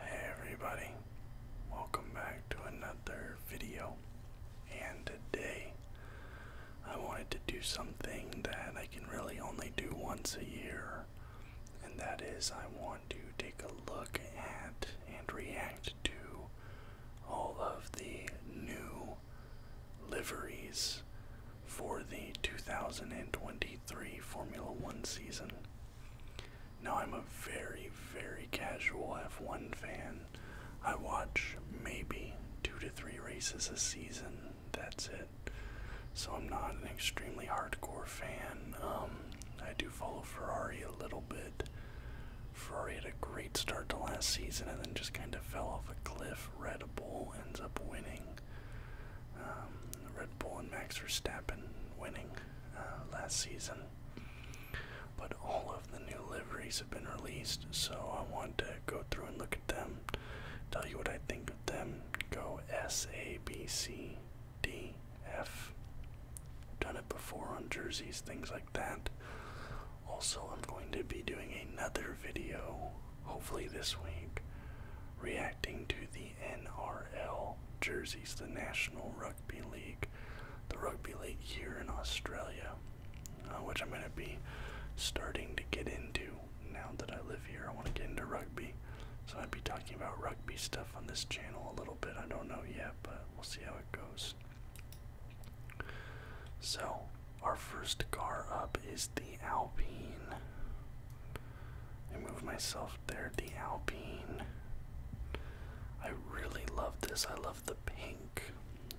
Hey everybody, welcome back to another video. And today I wanted to do something that I can really only do once a year, and that is I want to take a look at and react to all of the new liveries for the 2023 Formula One season. Now, I'm a very, very casual F1 fan. I watch maybe two to three races a season. That's it. So, I'm not an extremely hardcore fan. Um, I do follow Ferrari a little bit. Ferrari had a great start to last season and then just kind of fell off a cliff. Red Bull ends up winning. Um, Red Bull and Max Verstappen winning uh, last season. But all of the new liveries have been released, so I want to go through and look at them, tell you what I think of them. Go S, A, B, C, D, F. Done it before on jerseys, things like that. Also, I'm going to be doing another video, hopefully this week, React to the NRL jerseys, the National Rugby League, the rugby league here in Australia, uh, which I'm going to be starting to get into now that I live here. I want to get into rugby, so I'd be talking about rugby stuff on this channel a little bit. I don't know yet, but we'll see how it goes. So, our first car up is the Alpine. I move myself there. The Alpine. I really love this. I love the pink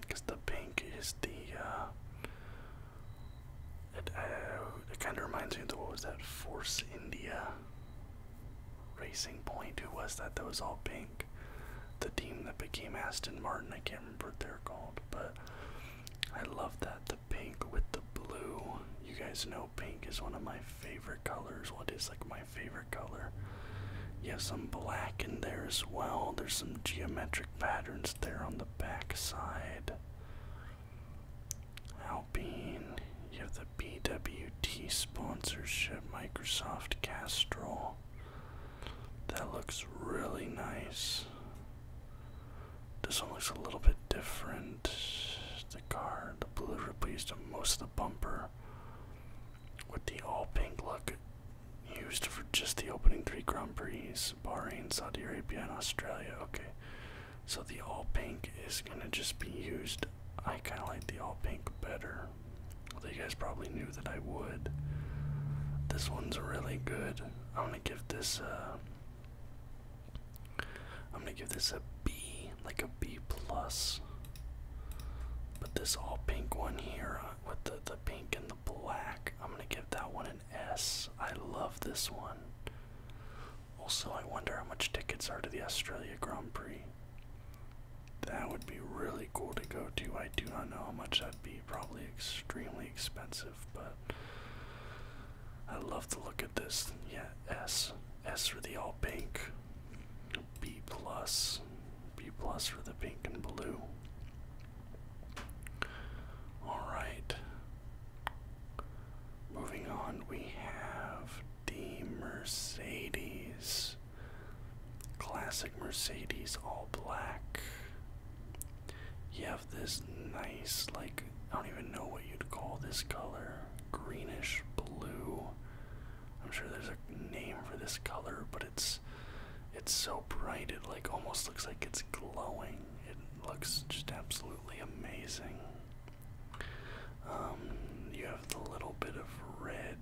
because the pink is the. Uh, it, uh, it kind of reminds me of the, what was that Force India Racing Point? Who was that? That was all pink. The team that became Aston Martin. I can't remember what they're called, but I love that pink with the blue. You guys know pink is one of my favorite colors. What is like my favorite color? You have some black in there as well. There's some geometric patterns there on the back side. Alpine, you have the BWT sponsorship, Microsoft Castrol. That looks really nice. This one looks a little bit different. The car, the blue replaced most of the bumper with the all pink look used for just the opening three Grand Prix, Bahrain, Saudi Arabia, and Australia. Okay, so the all pink is gonna just be used. I kind of like the all pink better. Although you guys probably knew that I would. This one's really good. I'm gonna give this uh, I'm gonna give this a B, like a B plus. But this all pink one here uh, with the, the pink and the black, I'm gonna give that one an S. I love this one. Also, I wonder how much tickets are to the Australia Grand Prix. That would be really cool to go to. I do not know how much that'd be. Probably extremely expensive but I love to look at this. Yeah, S. S for the all pink. B plus. B plus for the pink and blue. Alright. Moving on, we have the Mercedes. Classic Mercedes all black. You have this nice, like, I don't even know what you'd call this color greenish blue. I'm sure there's a name for this color, but it's it's so bright it like almost looks like it's glowing. It looks just absolutely amazing. Um, you have the little bit of red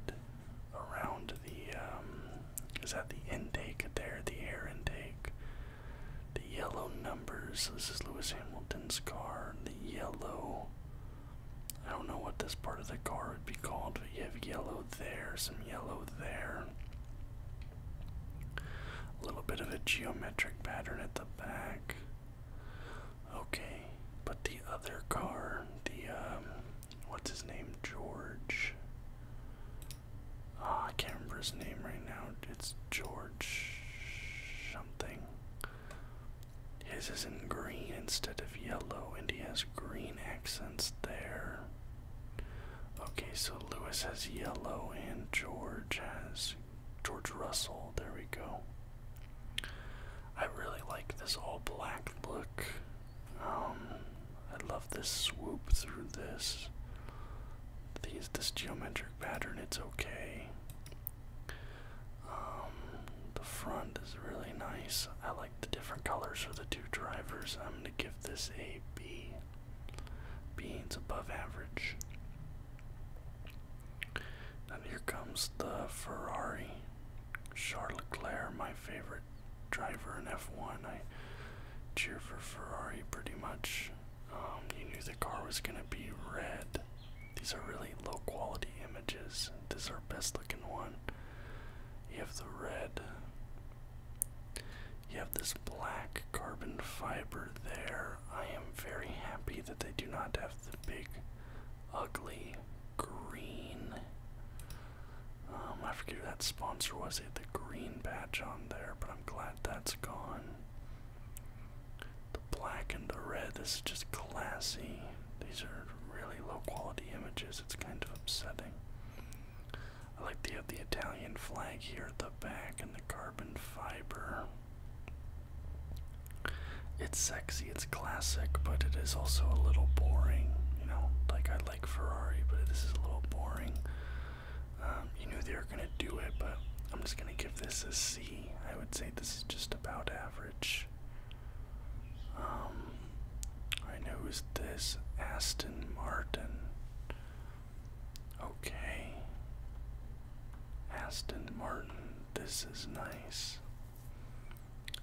around the um, is that the intake there, the air intake. The yellow numbers. This is Lewis Hamilton's car. The yellow. I don't know what this part of the car would be called, but you have yellow there, some yellow there. A little bit of a geometric pattern at the back. Okay, but the other car, the, um, what's his name? George. Ah, I can't remember his name right now. It's George something. His is in green instead of yellow, and he has green accents there. Okay, so Lewis has yellow, and George has George Russell. There we go. I really like this all black look. Um, I love this swoop through this. These this geometric pattern, it's okay. Um, the front is really nice. I like the different colors for the two drivers. I'm gonna give this a B. B is above average. Now here comes the Ferrari. Charlotte Claire, my favorite driver in F1. I cheer for Ferrari pretty much. Um, you knew the car was going to be red. These are really low quality images. This is our best looking one. You have the red. You have this black carbon fiber there. I am very happy that they do not have the big, ugly green um, I forget who that sponsor was. They had the green patch on there, but I'm glad that's gone. The black and the red, this is just classy. These are really low quality images. It's kind of upsetting. I like to have the Italian flag here at the back and the carbon fiber. It's sexy, it's classic, but it is also a little boring. You know, like I like Ferrari, but this is a little boring. Um, you knew they were gonna do it, but I'm just gonna give this a C. I would say this is just about average. Um, I know was this Aston Martin. Okay. Aston Martin, this is nice.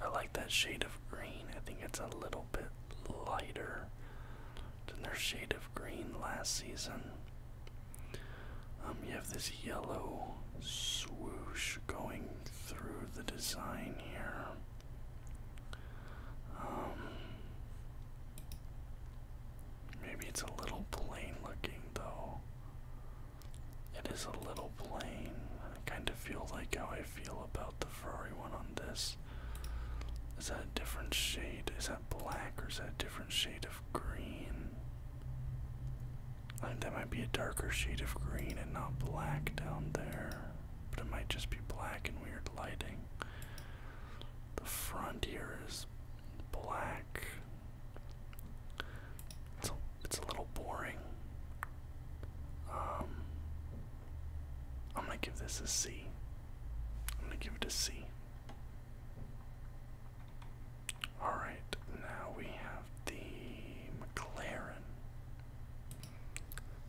I like that shade of green. I think it's a little bit lighter than their shade of green last season. Um, you have this yellow swoosh going through the design here. Um, maybe it's a little plain looking though. It is a little plain. I kind of feel like how I feel about the Ferrari one on this. Is that a different shade? Is that black or is that a different shade of green? I think that might be a darker shade of green and not black down there. But it might just be black and weird lighting. The front here is black. It's a, it's a little boring. Um, I'm gonna give this a C. I'm gonna give it a C. Alright, now we have the McLaren.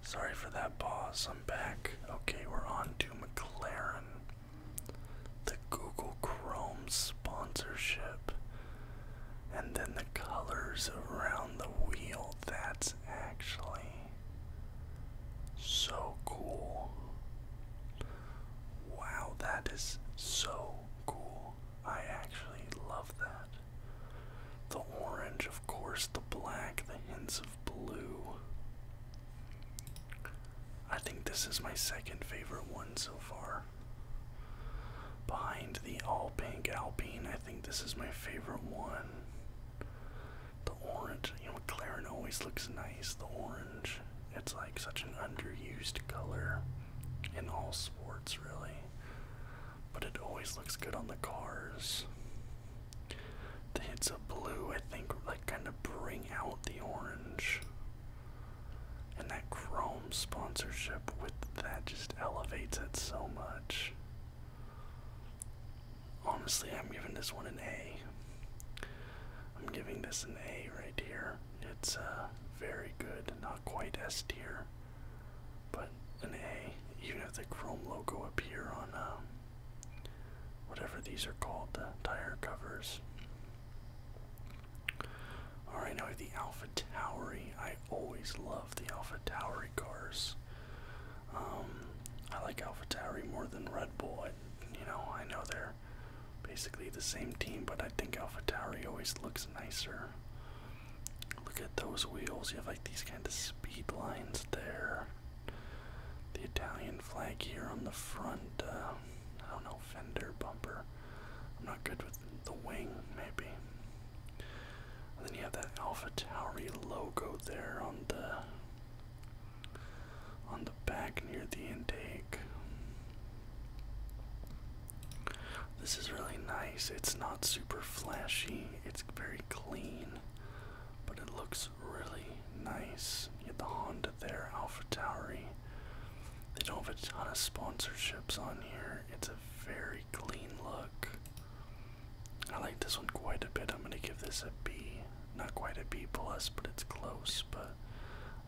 Sorry for that boss. I'm back. Okay, we're on to McLaren. The Google Chrome sponsorship. And then the colors around the wheel, that's actually so cool. Wow, that is so cool. I actually love that. The orange, of course, the black, the hints of blue. I think this is my second favorite one so far. Behind the all pink Alpine, I think this is my favorite one. The orange, you know, McLaren always looks nice. The orange, it's like such an underused color in all sports, really. But it always looks good on the cars. The hits of blue, I think, like kind of bring out the orange. And that chrome sponsorship with that just elevates it so much. Honestly, I'm giving this one an A. I'm giving this an A right here. It's uh, very good, not quite S tier, but an A. Even if the Chrome logo appear on um, whatever these are called, the tire covers. Alright, now the Alpha Tauri. I always love the Alpha Tauri cars. Um, I like Alpha Tauri more than Red Bull. you know, I know they're basically the same team, but I think Alpha Tauri always looks nicer. Look at those wheels. You have like these kind of speed lines there. The Italian flag here on the front. Uh, I don't know, fender, bumper. I'm not good with the wing, maybe. And then you have that Alpha Tauri logo there on the on the back near the intake. This is really nice. It's not super flashy. It's very clean, but it looks really nice. You have the Honda there, Alpha Tauri. They don't have a ton of sponsorships on here. It's a very clean look. I like this one quite a bit. I'm gonna give this a B. Not quite a B plus, but it's close. But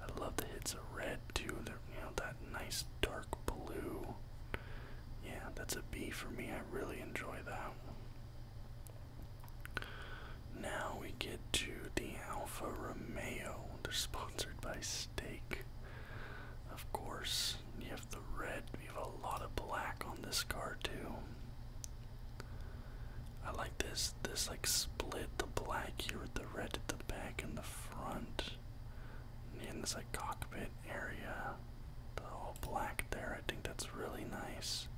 I love the hits of red too. they you know that nice dark blue. Yeah, that's a B for me. I really enjoy that. Now we get to the Alfa Romeo. They're sponsored by Steak. Of course, you have the red. You have a lot of black on this car too. I like this. This like split the black here with the red at the back and the front. And this like cockpit area, the whole black there. I think that's really nice.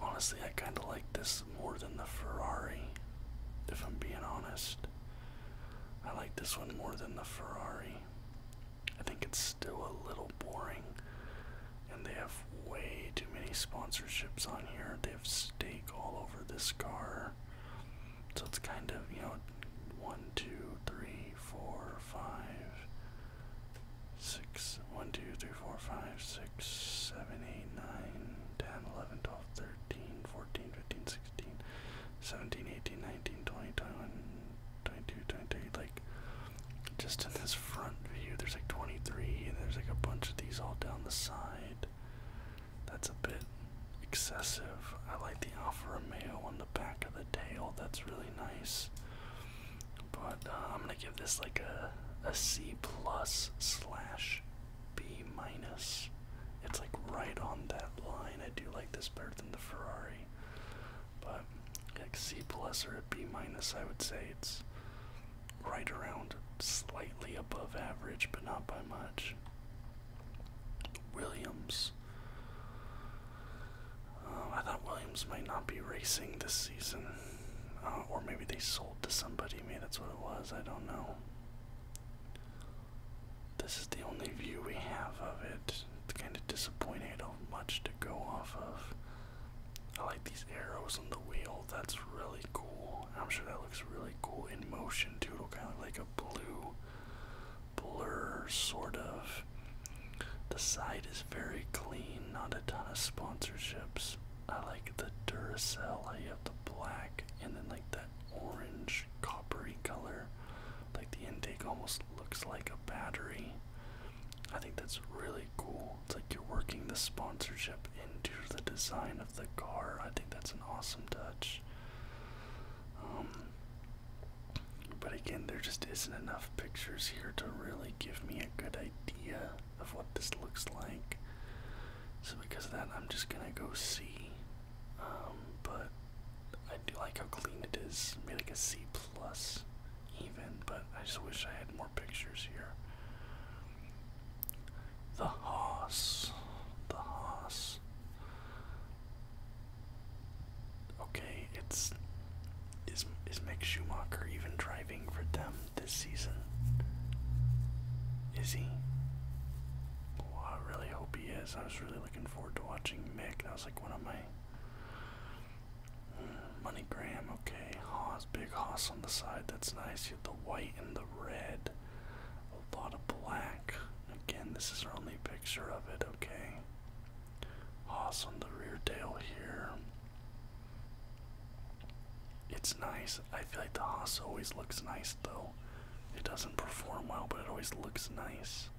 Honestly, I kind of like this more than the Ferrari, if I'm being honest. I like this one more than the Ferrari. I think it's still a little boring, and they have way too many sponsorships on here. They have steak all over this car, so it's kind of you know one, two, three, four, five, six, one, two, three, four, five, six, seven, eight, nine, ten, eleven, twelve. 13, 14, 15, 16, 17, 18, 19, 20, 21, 22, 23. Like, just in this front view, there's like 23, and there's like a bunch of these all down the side. That's a bit excessive. I like the Alfa Romeo on the back of the tail, that's really nice. But uh, I'm gonna give this like a a C plus slash B minus. It's like right on that line. I do like this better than the Ferrari. But like C plus or B minus, I would say it's right around slightly above average, but not by much. Williams. Um, I thought Williams might not be racing this season. Uh, or maybe they sold to somebody. Maybe that's what it was. I don't know. This is the only view we have of it. It's kind of disappointing. I don't have much to go off of. I like these arrows on the wheel. That's really cool. I'm sure that looks really cool in motion too. It'll kind of like a blue blur, sort of. The site is very clean. Not a ton of sponsorships, I like the Duracell, I have the black and then like that orange coppery color. Like the intake almost looks like a battery. I think that's really cool. It's like you're working the sponsorship into the design of the car. I think that's an awesome touch. Um, but again, there just isn't enough pictures here to really give me a good idea of what this looks like. So because of that, I'm just gonna go see. Um, but I do like how clean it is. Maybe like a C plus, even. But I just wish I had more pictures here. The Haas. The Haas. Okay, it's is is Mick Schumacher even driving for them? this season. Is he? I really hope he is. I was really looking forward to watching Mick. That was like one of my hmm, Money Graham, okay. Haas, big Haas on the side. That's nice. You have the white and the red. A lot of black. Again, this is our only picture of it, okay. Haas on the rear tail here. It's nice. I feel like the Haas always looks nice though. It doesn't perform well, but it always looks nice.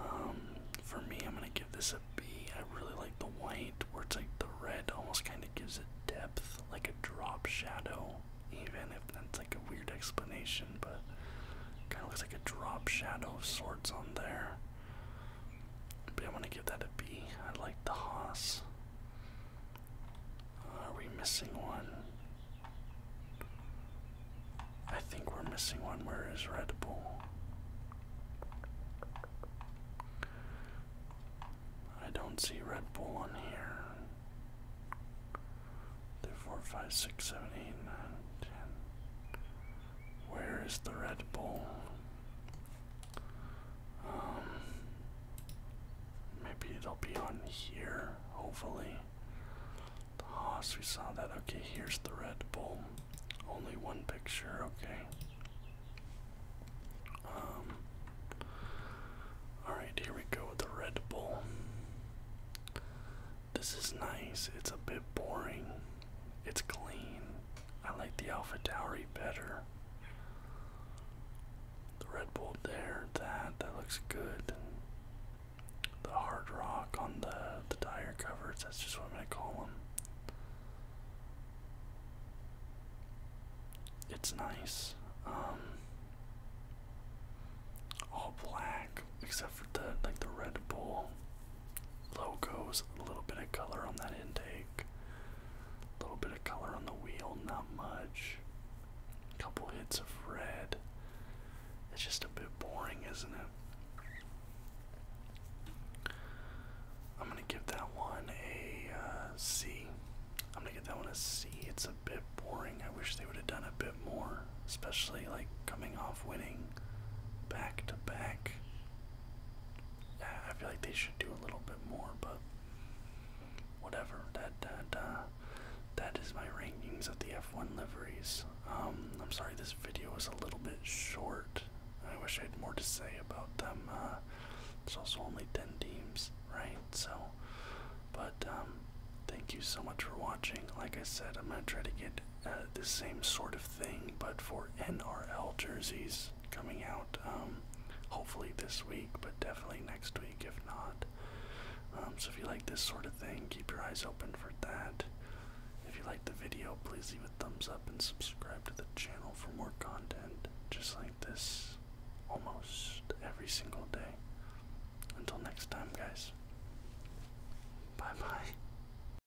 Um, for me, I'm gonna give this a B. I really like the white, where it's like the red almost kind of gives it depth, like a drop shadow. Even if that's like a weird explanation, but kind of looks like a drop shadow of sorts on there. But I want to give that a B. I like the Hoss. are we missing one? I think we're missing one. Where is Red Bull? I don't see Red Bull on here. Three, four, five, six, seven, eight, nine, ten. Where is the Red Bull? Um, maybe it'll be on here, hopefully. The Haas, we saw that. Okay, here's the Red Bull. Only one picture, okay. Um, Alright, here we go with the Red Bull. This is nice. It's a bit boring. It's clean. I like the Alpha Dowry better. The Red Bull there, that, that looks good. The hard rock on the, the tire covers, that's just what I'm gonna call them. It's nice. Um, all black, except for the like the Red Bull logos, a little bit of color on that intake, a little bit of color on the wheel, not much. A couple hits of red. It's just a bit boring, isn't it? I'm gonna give that one a am uh, I'm gonna give that one a C. It's a bit boring. I wish they would have done a bit more, especially like coming off winning back to back. I feel like they should do a little bit more, but whatever. That that uh, that is my rankings of the F1 liveries. Um, I'm sorry this video was a little bit short. I wish I had more to say about them. Uh, it's also only 10 teams, right? So, but um, thank you so much for watching. Like I said, I'm gonna try to get uh, the same sort of thing, but for NRL jerseys coming out um, hopefully this week, but definitely next week if not. Um, so if you like this sort of thing, keep your eyes open for that. If you like the video, please leave a thumbs up and subscribe to the channel for more content just like this almost every single day. Until next time, guys. Bye bye.